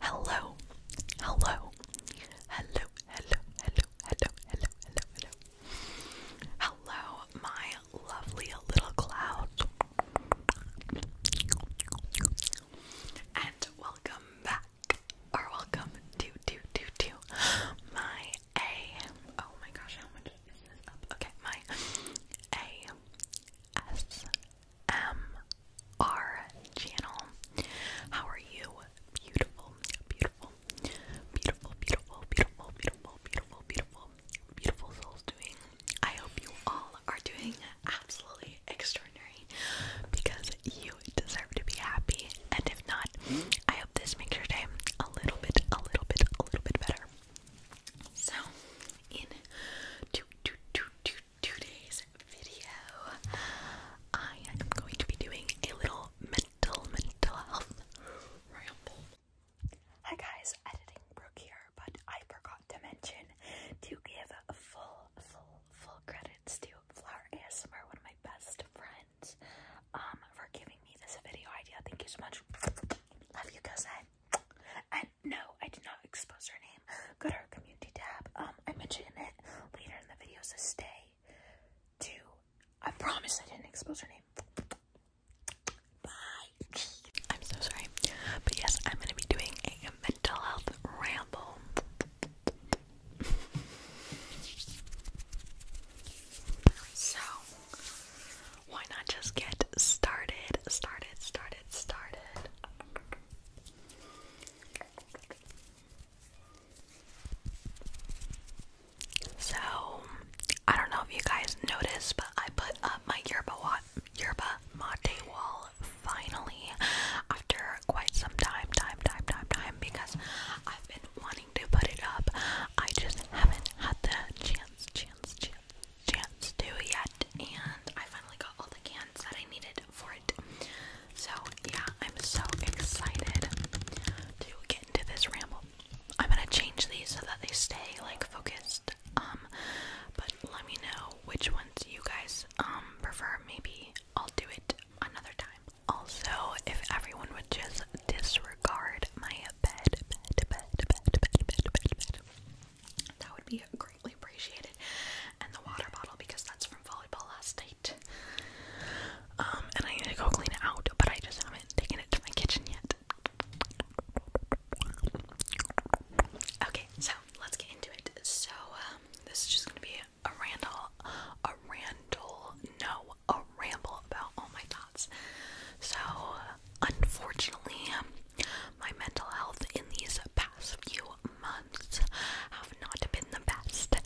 Hello, hello, hello, hello, hello, hello, hello, hello, hello. my lovely little cloud. And welcome back, or welcome to, to, to, to my a oh my gosh, how much is this up? Okay, my A S M R channel. How are you? Beautiful, beautiful, beautiful, beautiful, beautiful, beautiful, beautiful, beautiful, beautiful souls doing. I hope you all are doing absolutely extraordinary because you deserve to be happy. And if not, I hope this makes your day a little bit, a little bit, a little bit better. So, in today's video, I am going to be doing a little mental, mental health ramble. Hi guys, editing Brooke here, but I forgot to mention to give full, full, full credits to Flower one of my best friends, um, for giving me this video idea. Thank you so much. Love you, cousin. And no, I did not expose her name. Go to her community tab. Um, I mentioned it later in the video, so stay to. I promise I didn't expose her name. Bye. I'm so sorry, but yes, I'm gonna be doing a mental health ramble. So, why not just get started? Started, started, started. So, I don't know if you guys noticed, but I put up my yerba, wa yerba mate wall finally after quite some time, time, time, time, time, because I've been wanting to put it up. I just haven't had the chance, chance, chance, chance to yet, and I finally got all the cans that I needed for it. So, yeah, I'm so excited to get into this ramble. I'm gonna change these so that they stay like focused. Um, but let me know which ones you guys um prefer. Maybe I'll do it another time. Also, if everyone would just disregard my bed, bed, bed, bed, bed, bed, bed, bed, that would be greatly appreciated. And the water bottle because that's from volleyball last night. Um, and I need to go clean it out, but I just haven't taken it to my kitchen yet. Okay, so let's get into it. So, um, this is just gonna be a randall, a randall, no, a ramble about all my thoughts. So, Unfortunately, my mental health in these past few months have not been the best.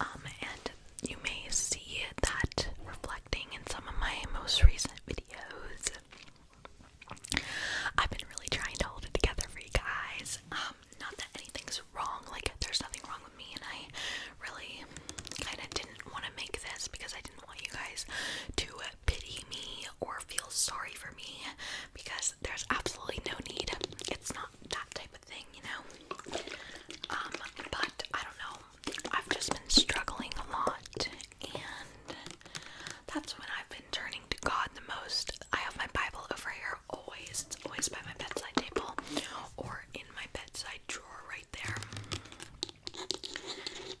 Um, and you may see that reflecting in some of my most recent videos. I've been really trying to hold it together for you guys. Um, not that anything's wrong, like there's nothing wrong with me, and I really kind of didn't want to make this because I didn't want you guys to pity me or feel sorry for me because there's absolutely no need. It's not that type of thing, you know? Um, but I don't know. I've just been struggling a lot and that's when I've been turning to God the most. I have my Bible over here always. It's always by my bedside table or in my bedside drawer right there.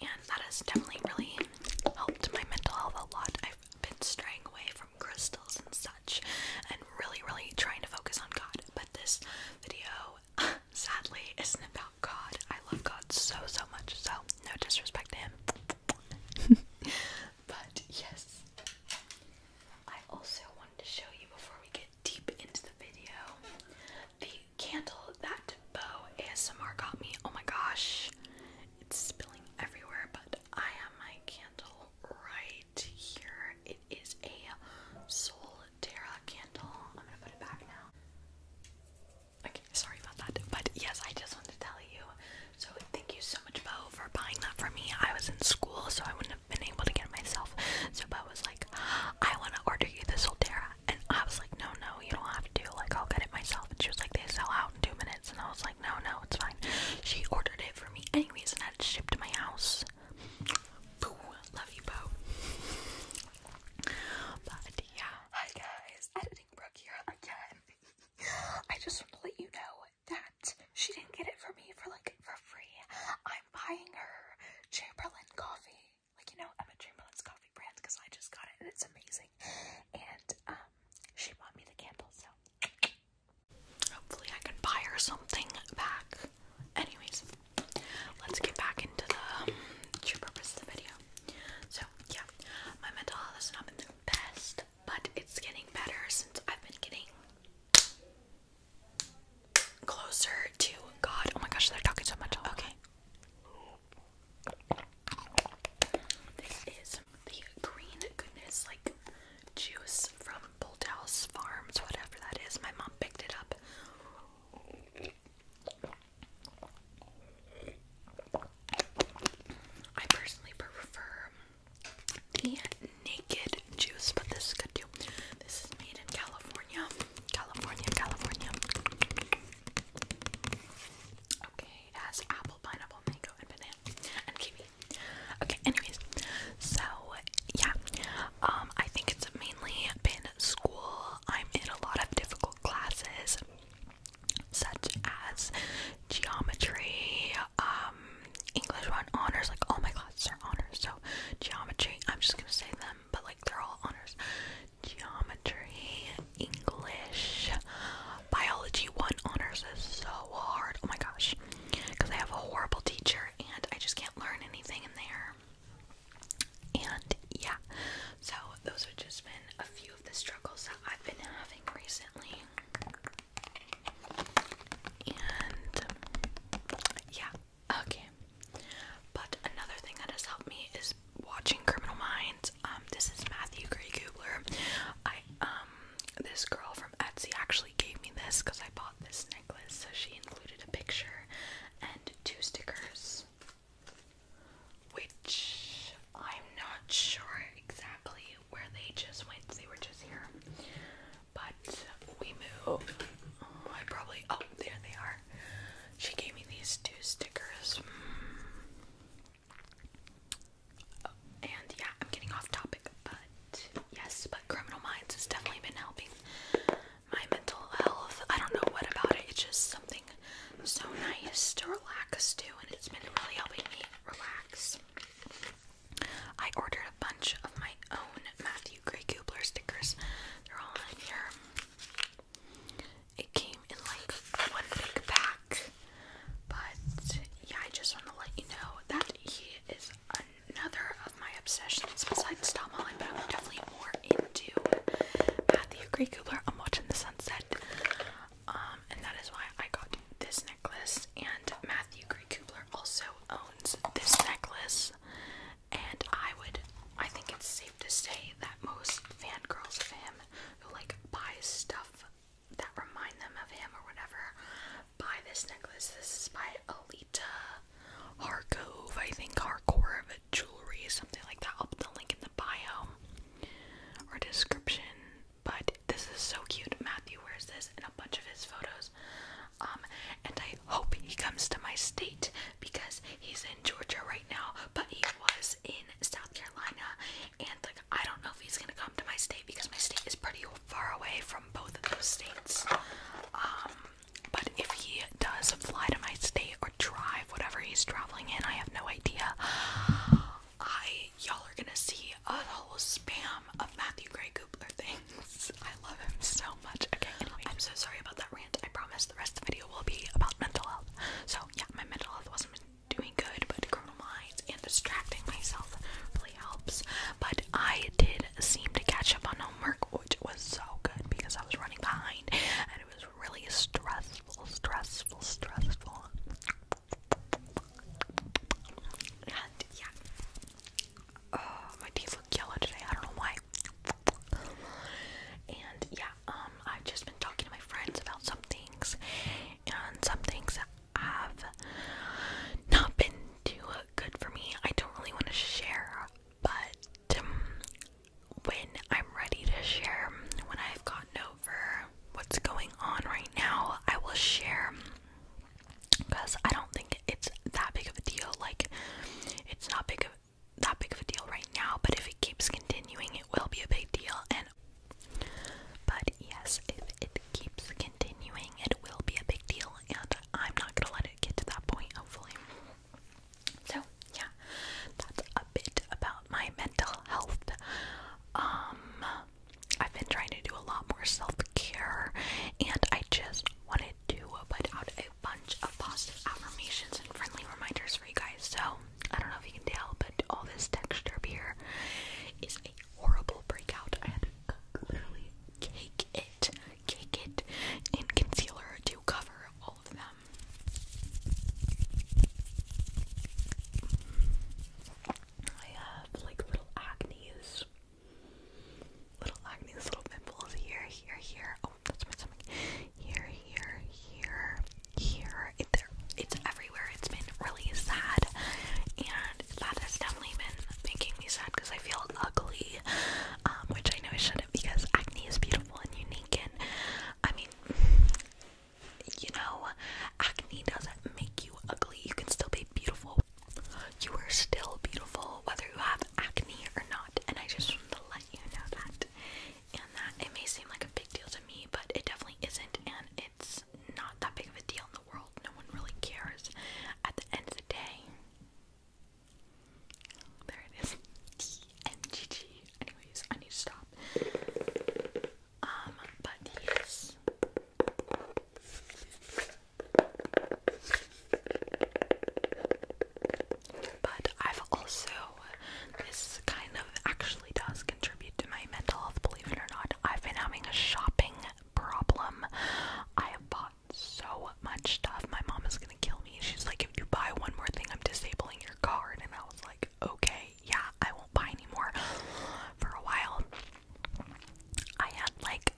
And that has definitely really helped my mental health a lot. I've been straying away from crystals and such and really, really trying to focus on God. But this video, sadly, isn't about God. I love God so, so much, so no disrespect to him. but yes, I also wanted to show you before we get deep into the video candle that Bow ASMR got me. Oh my gosh, it's spilling everywhere, but I have my candle right here. It is a Solterra candle. I'm gonna put it back now. Okay, sorry about that. But yes, I just wanted to tell you. So thank you so much, Bo, for buying that for me. I was in school, so I wouldn't have been able to get it myself. So Bo was like, I want to order you the Solterra. And I was like, no, no, you don't have to. Like, I'll get it myself. And she was like, they sell out in two minutes. And I was like, no, no, it's fine. She ordered it for me anyways and had it shipped to my house. Love you, Bo. But yeah. Hi, guys. Editing Brooke here again. I just want to let you know that she didn't get it for me for like for free. I'm buying her Chamberlain coffee like you know Emma Chamberlain's coffee brand because I just got it and it's amazing. And um, she bought me the candle, so hopefully I can buy her something back. Anyways, let's get back into the um, true purpose of the video. So yeah, my mental health has not been the best, but it's getting better since I've been getting closer to God. Oh my gosh, they're talking so much. Okay. This is the green goodness like juice from Bold House Farms, whatever that is. My mom picked it up. I personally prefer the naked juice, but this is good too. This is made in California. California, California. Okay, has apple, pineapple, mango, and banana, and kiwi. Okay, anyways, so yeah, um, I think it's mainly been school. I'm in a lot of difficult classes, such as geometry, um, English one honors. Like all my classes are honors, so geometry. I'm just gonna say them, but like they're all honors geometry, English, biology one honors is so hard. Oh my gosh, because I have a horrible teacher and I just can't learn anything in there. And yeah, so those have just been a few of the struggles that I've been having recently. And yeah, okay. But another thing that has helped me is watching Criminal Minds. Um, this is Matthew Gray Gubler. I um, this girl from Etsy actually gave me this because I bought this necklace, so she included a picture and two stickers, which I'm not sure exactly where they just went. They were just here, but we moved. Oh, I probably oh there they are. She gave me these two stickers. Mm and yeah, I'm getting off topic, but yes, but Criminal Minds has definitely been helping my mental health. I don't know what about it, it's just something so nice to relax to, and it's been really helping me relax. I ordered a bunch of my own Matthew Gray Kubler stickers, they're all in here. It came in like one big pack, but yeah, I just want to let you know that he is another of my obsessions besides Tom Holland, but I'm definitely more into Matthew Gray Cooper. I'm watching the sunset, um, and that is why I got this necklace. And Matthew Gray Cooper also owns this necklace, and I would, I think it's safe to say that most fangirls of him who like buy stuff that remind them of him or whatever buy this necklace. This is by Alita Harkov, I think Harkov Jewelry, something like that. I'll put the link in the bio or description. But this is so cute. Matthew wears this in a bunch of his photos. Um, and I hope he comes to my state because he's in Georgia right now, but he was in South Carolina and like I don't know if he's gonna come to my state because my state is pretty far away from both of those states. Um, but if he does fly to my state or drive, whatever he's traveling in, I have no idea. I y'all are gonna see a whole spam of Matthew Gray Goopler things. I love him so much. Okay, I'm so sorry about that rant. I promise the rest of the video will be about mental health. So yeah, my mental health wasn't doing good, but criminal minds and distracting myself really helps. But I did seem to catch up on homework, which was so good because I was running behind and it was really stressful, stressful, stressful. And yeah. Oh, my teeth look yellow today. I don't know why. And yeah, um, I've just been talking to my friends about some things, and some things have not been too good for me. I don't really want to share, but um, when I'm ready to share, when I've gotten over what's going on right now, I will share because I don't think it's that big of a deal. Like, it's not big of that big of a deal right now, but if it keeps continuing, it will be a big deal. And but yes, if it keeps continuing, it will be a big deal, and I'm not gonna let it get to that point, hopefully. So, yeah, that's a bit about my mental health. Um, I've been trying to do a lot more self care, and I just wanted to put out a bunch of positive affirmations and friendly reminders for you guys. So, I don't know if you can tell, but all this texture up here is a horrible breakout. I had to literally cake it, cake it in concealer to cover all of them. I have like little acne's, little acne's, little pimples here, here, here. Oh, that's my stomach. Here, here, here, here. it's everywhere. It's been really sad, and that has definitely been making me sad because I feel ugly, um, which I know I shouldn't because acne is beautiful and unique. And I mean, you know, acne doesn't make you ugly. You can still be beautiful. You are still beautiful whether you have acne or not, and I just want to let you know that. And that it may seem like a big deal to me, but it definitely isn't, and it's not that big of a deal in the world. No one really cares. At the end of the day, there it is. TMGG. Anyways, I need to stop. Um, but yes. But I've also this kind of actually does contribute to my mental health, believe it or not. I've been having a shopping problem. I have bought so much stuff. My mom is gonna kill me. She's like, if you buy one more thing, I'm disabling your card. And I was like, okay, yeah, I won't buy anymore. For a while, I had like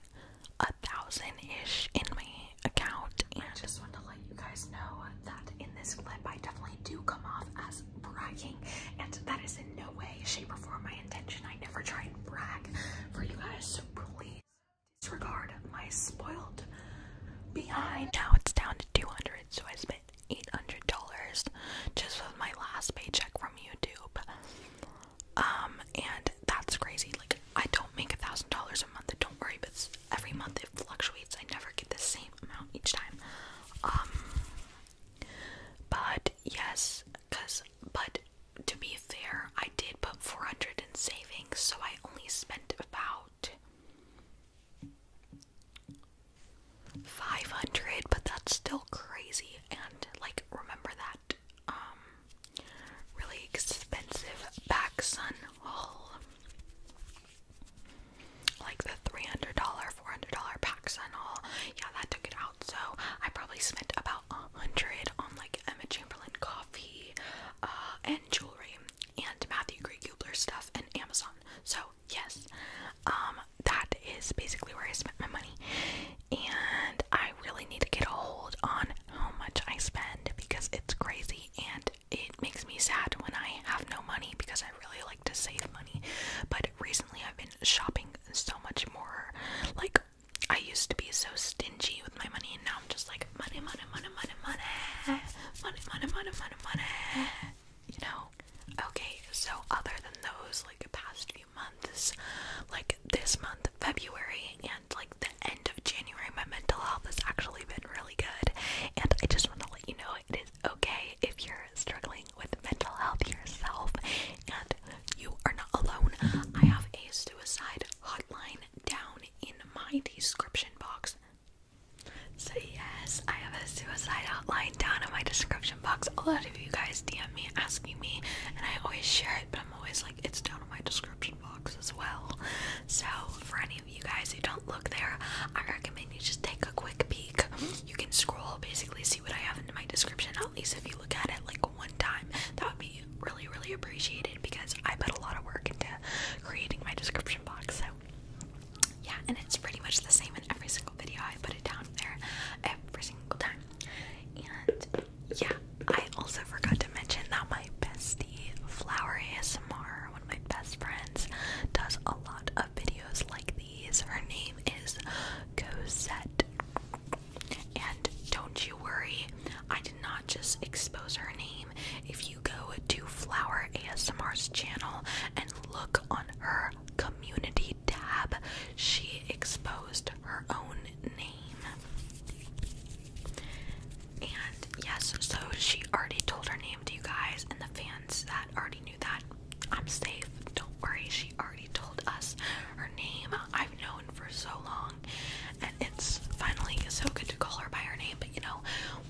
a thousand ish in my account. And I just want to let you guys know that in this clip, I definitely do come off as bragging, and that is in no way, shape, or form my intention. I never try and brag for you guys, so please disregard my spoiled behind. Now it's down to 200, so I spent $800 just with my last paycheck from YouTube. Um, and that's crazy. Like, I don't make a thousand dollars a month. Don't worry, but every month it fluctuates. I never get the same amount each time. Um, but yes, cause but to be fair, I did put 400 in savings, so I only spent about 500, but that's still crazy. And like, remember that um really expensive back sun like the $300, $400 packs and all. Yeah, that took it out. So I probably spent about a hundred on like Emma Chamberlain coffee uh, and jewelry and Matthew Gray Hubler stuff and Amazon. So yes, um, that is basically where I spent my money. And I really need to get a hold on how much I spend because it's crazy and it makes me sad when I have no money because I really like to save money. But recently I've been shopping so much more. Like, I used to be so stingy with my money, and now I'm just like, money, money, money, money, money, money, money, money, money, money. You know? Okay, so other than those, like, past few months, like this month, February, and like the end of January, my mental health has actually been really good. And I just want to let you know it is okay if you're struggling with mental health yourself and you are not alone. I have a suicide hotline down in my description box. So, yes, I have a suicide hotline down in my description box. A lot of you guys DM me asking me, and I always share it, but I'm always like, it's down in my description box as well. So, for any of you guys who don't look there, I recommend you just take a quick peek you can scroll, basically see what I have in my description, at least if you look at it like one time. That would be really, really appreciated because I put a lot of work into creating my description box. So yeah, and it's pretty much the same in every single video. I put it down there every single time. And yeah, I also forgot to mention that my bestie Flower ASMR, one of my best friends, does a lot of videos like these. Her name is Cosette. And don't you worry, I did not just expose her name. If you go to Flower ASMR's channel and look on her community tab, she exposed her own name. And yes, so she already told her name to you guys, and the fans that already knew that I'm safe. Don't worry. She already told us her name. I've known for so long, and it's finally so good to call her by her name. But you know,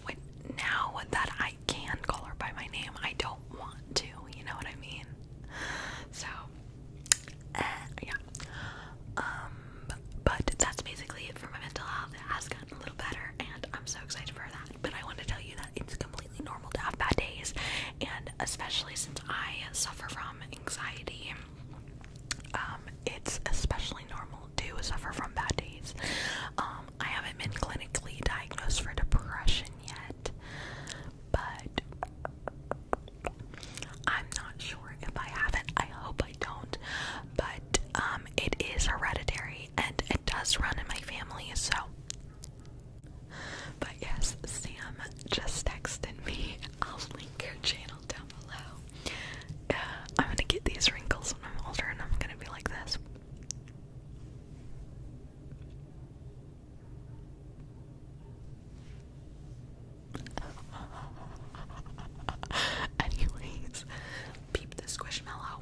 when now that I can call her by my name, I don't want to. You know what I mean? So, eh, yeah. Um, but that's basically it for my mental health. It has gotten a little better, and I'm so excited for that but I want to tell you that it's completely normal to have bad days, and especially since I suffer from anxiety, um, it's especially normal to suffer from bad days. Um, I haven't been clinically diagnosed for depression yet, but I'm not sure if I haven't. I hope I don't, but um, it is hereditary and it does run in my family, so but yes, Sam just texted me. I'll link her channel down below. Uh, I'm gonna get these wrinkles when I'm older and I'm gonna be like this. Anyways, peep this squishmallow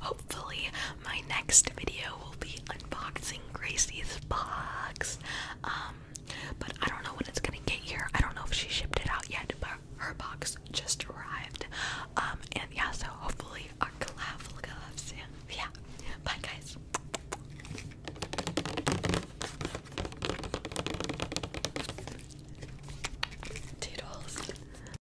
hopefully my next video will be unboxing Gracie's box. Um, but I don't know when it's gonna get here. I don't know if she shipped it out yet, but her box just arrived. Um, and yeah, so hopefully our collab will go up Yeah, bye guys. Toodles.